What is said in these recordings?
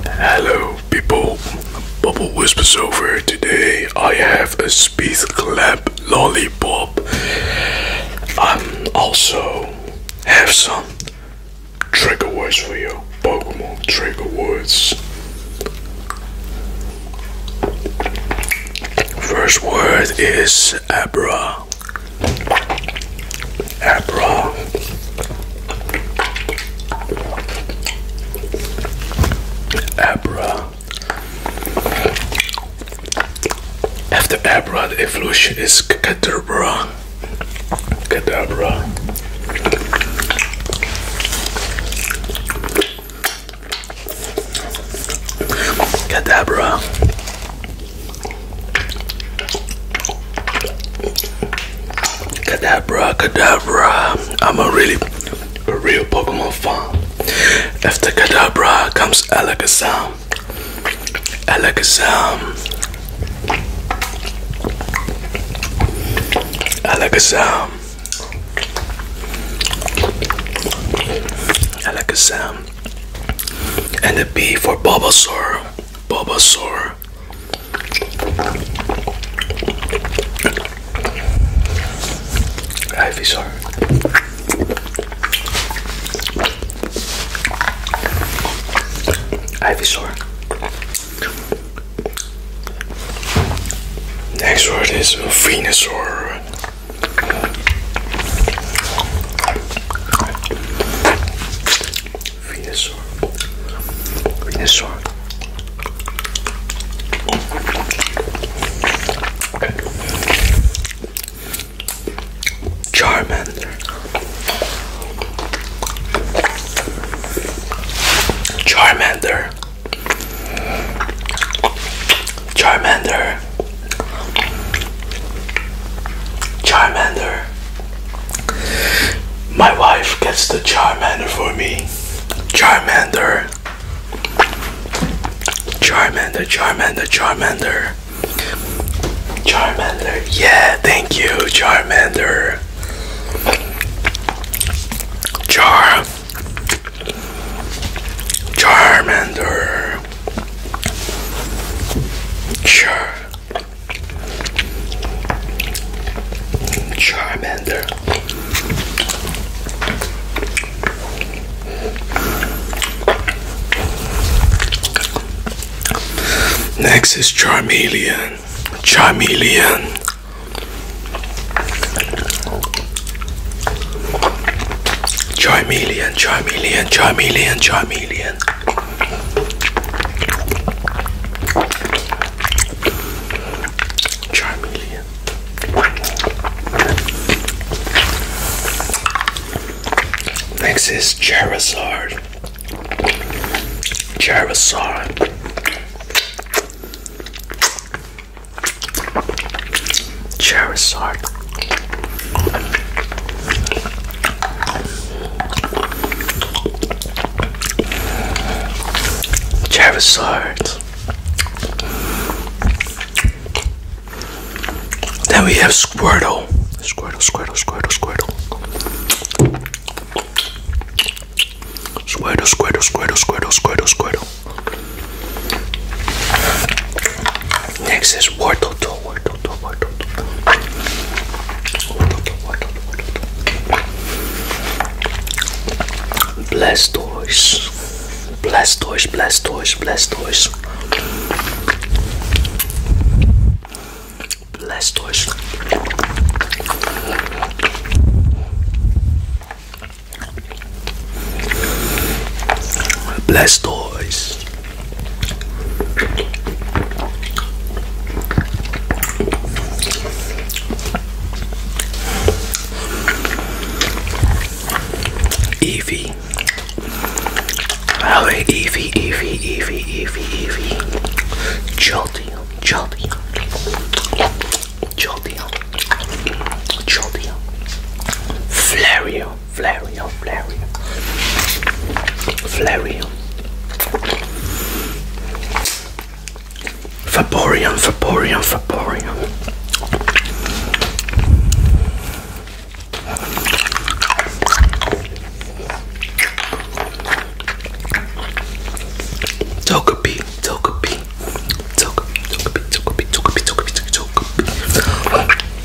Hello people, Bubble Whispers over. Today I have a speed clap lollipop. I um, also have some trigger words for you. Pokemon trigger words. First word is Abra. Aperol. Aperol. After Aperol, the evolution is Cadabra. Cadabra. Cadabra. Kadabra, Kadabra. I'm a really a real Pokemon fan. After Kadabra comes Alakazam. Alakazam. Alakazam. Alakazam. And the B for Bulbasaur. Bulbasaur. Ivy, sorry. Ivysaur. Next word is Venusaur. Venusaur. Venusaur. Charmander. Charmander. Charmander. Charmander. My wife gets the Charmander for me. Charmander. Charmander, Charmander, Charmander. Charmander. Yeah, thank you, Charmander. Char. Charmander. Char. Charmander. Next is Charmeleon. Charmeleon. Charmeleon, Charmeleon, Charmeleon, Charmeleon again. Charmeleon. Next is Charizard. Charizard. Charizard. Charizard. Then we have Squirtle. Squirtle, Squirtle, Squirtle, Squirtle. Squirtle, Squirtle, Squirtle, Squirtle, Squirtle, Squirtle. Next is Wartle Bless Bless Bless toys. toys. toys. Bless toys. Bless toys. Bless toys. Evie. Hello, Evie, Evie, Evie, Evie, Evie. Jolty, jolty, jolty, jolty. Flario, Flareon, Flareon, Flareon, Flareon, Vaporeon, Vaporeon, Vaporeon. Togepi, Togepi, Togepi, Togepi, Togepi, Togepi, Togepi, Togepi, Togepi,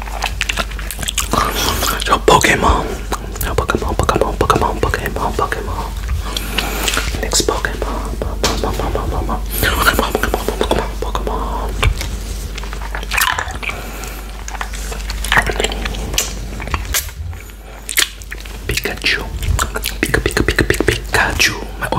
So Pokemon, Pokemon, Pokemon, Pokemon, Pokemon, Pokemon. Next Pokemon, Pokemon, Pokemon, Pokemon, Pokemon, Pokemon. Pikachu, Pika, Pika, Pika, Pikachu. My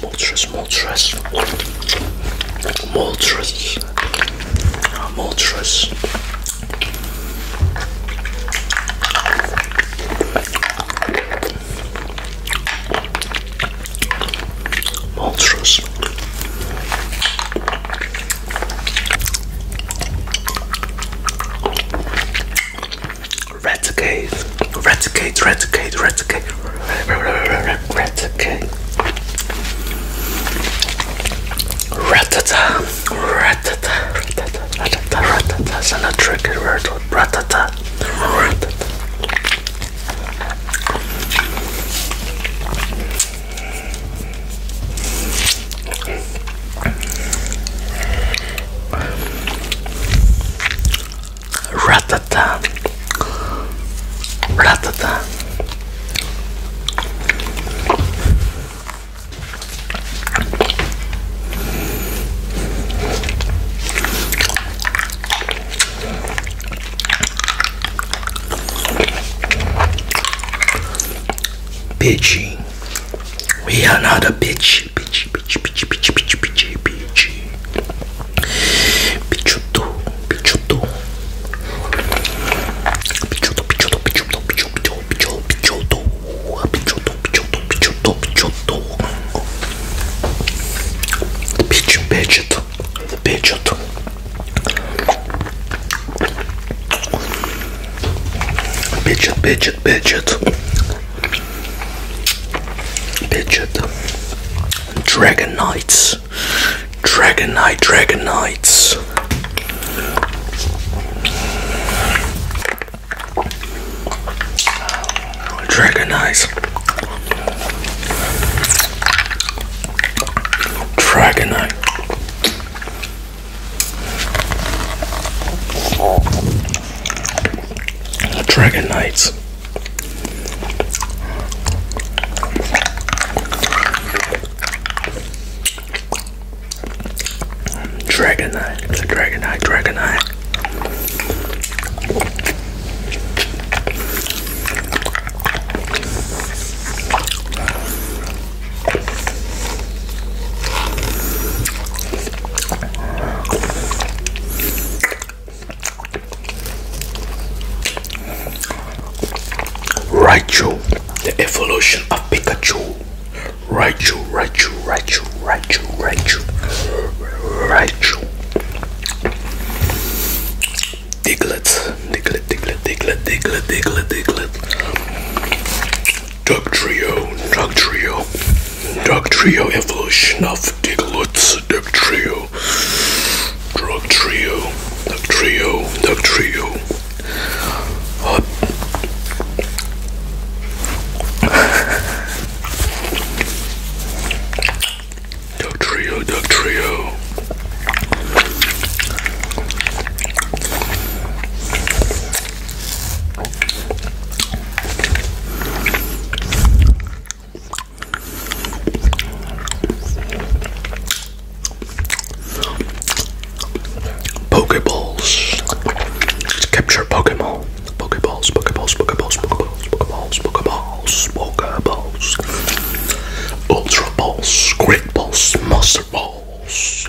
Moltres, Moltres, Moltres, ah, Moltres. Maltrus. Red Cave. Reticate, reticate, reticate, reticate, ratata, ratata, ratata, ratata, ratata. That's another tricky word. Ratata, ratata. Ratata. Ratata. Bitchy. We are not a bitch peachy, peachy, peachy, peachy, peachy, peachy, peachy, peachy. Pichuto, pichuto. Pichuto, pichuto, pichuto, pichuto, pichuto, pichuto. Pichuto, pichuto, pichuto, pichuto. Pichu, pichuto, pichuto. Pichut, pichut, pichut. Pidgeot. Dragon Knights. Dragon Knight, Dragon Knights. Dragon Eyes. Dragon Eye. Dragon Knights. Dragonite, Dragonite, Dragonite. Raichu, the evolution of Pikachu. Raichu, Raichu, Raichu, Raichu, Raichu, Raichu. Diglett, Diglett, Diglett, Diglett, Diglett, Diglett, Diglett. Dug Trio, Dug Trio. Drug Trio Evolution of Dick Lutz Drug Trio Drug Trio Drug Trio Drug Trio Up Drug Trio Drug Trio Pokeballs. Capture Pokemon. Pokeballs, Pokeballs, Pokeballs, Pokeballs, Pokeballs, Pokeballs, Ultra Balls, Great Balls, Monster Balls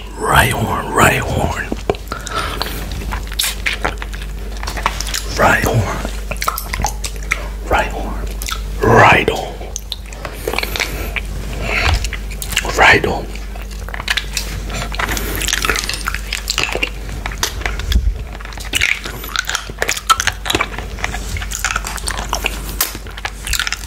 Right horn, right horn. Right horn. Right horn. Right on. Right on.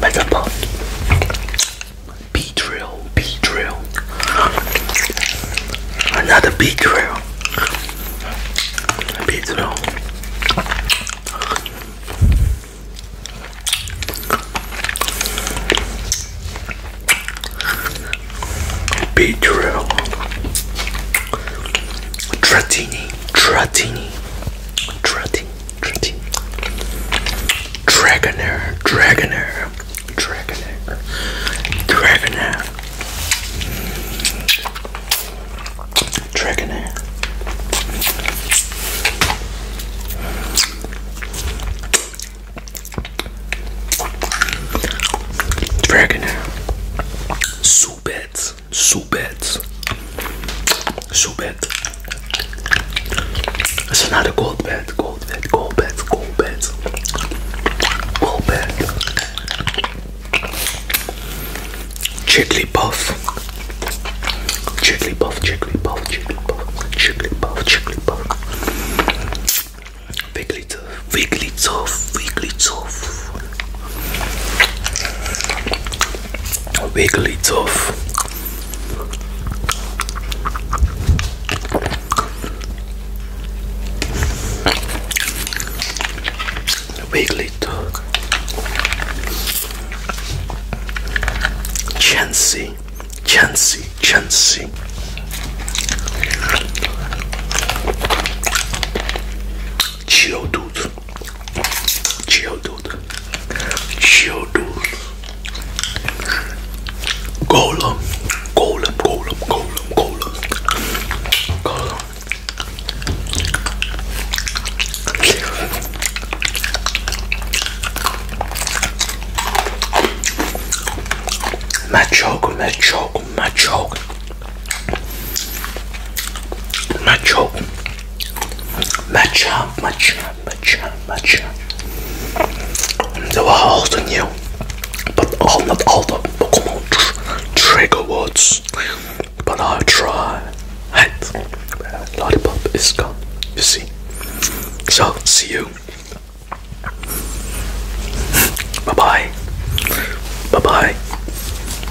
Metapod. B drill, B drill. Another B drill. B drill. B drill. Trattini, trattini, trattini dragoner, dragoner, dragoner, Dragonair, Dragonair. Dragonair. Subet bad, so bad, so bad. It's another gold bed, gold bed, gold bed, gold bed, gold bed. Jigglypuff, Jigglypuff, Jigglypuff, Jigglypuff, Jigglypuff, Jigglypuff. Wigglytuff, Wigglytuff, Wigglytuff wiggly tough. Wiggly tough. Chancy, chancy, chancy. Geodude, Chill, dude. Chill, dude. Golem, golem, golem, golem, golem. Golem. Machoke, machoke, machoke. Machoke. Matcha, matcha, matcha, matcha. There were also new, but all not all the Pokemon tr trigger words. But I'll try. And lollipop is gone. You see. So see you. Bye bye. Bye bye.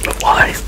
Bye bye.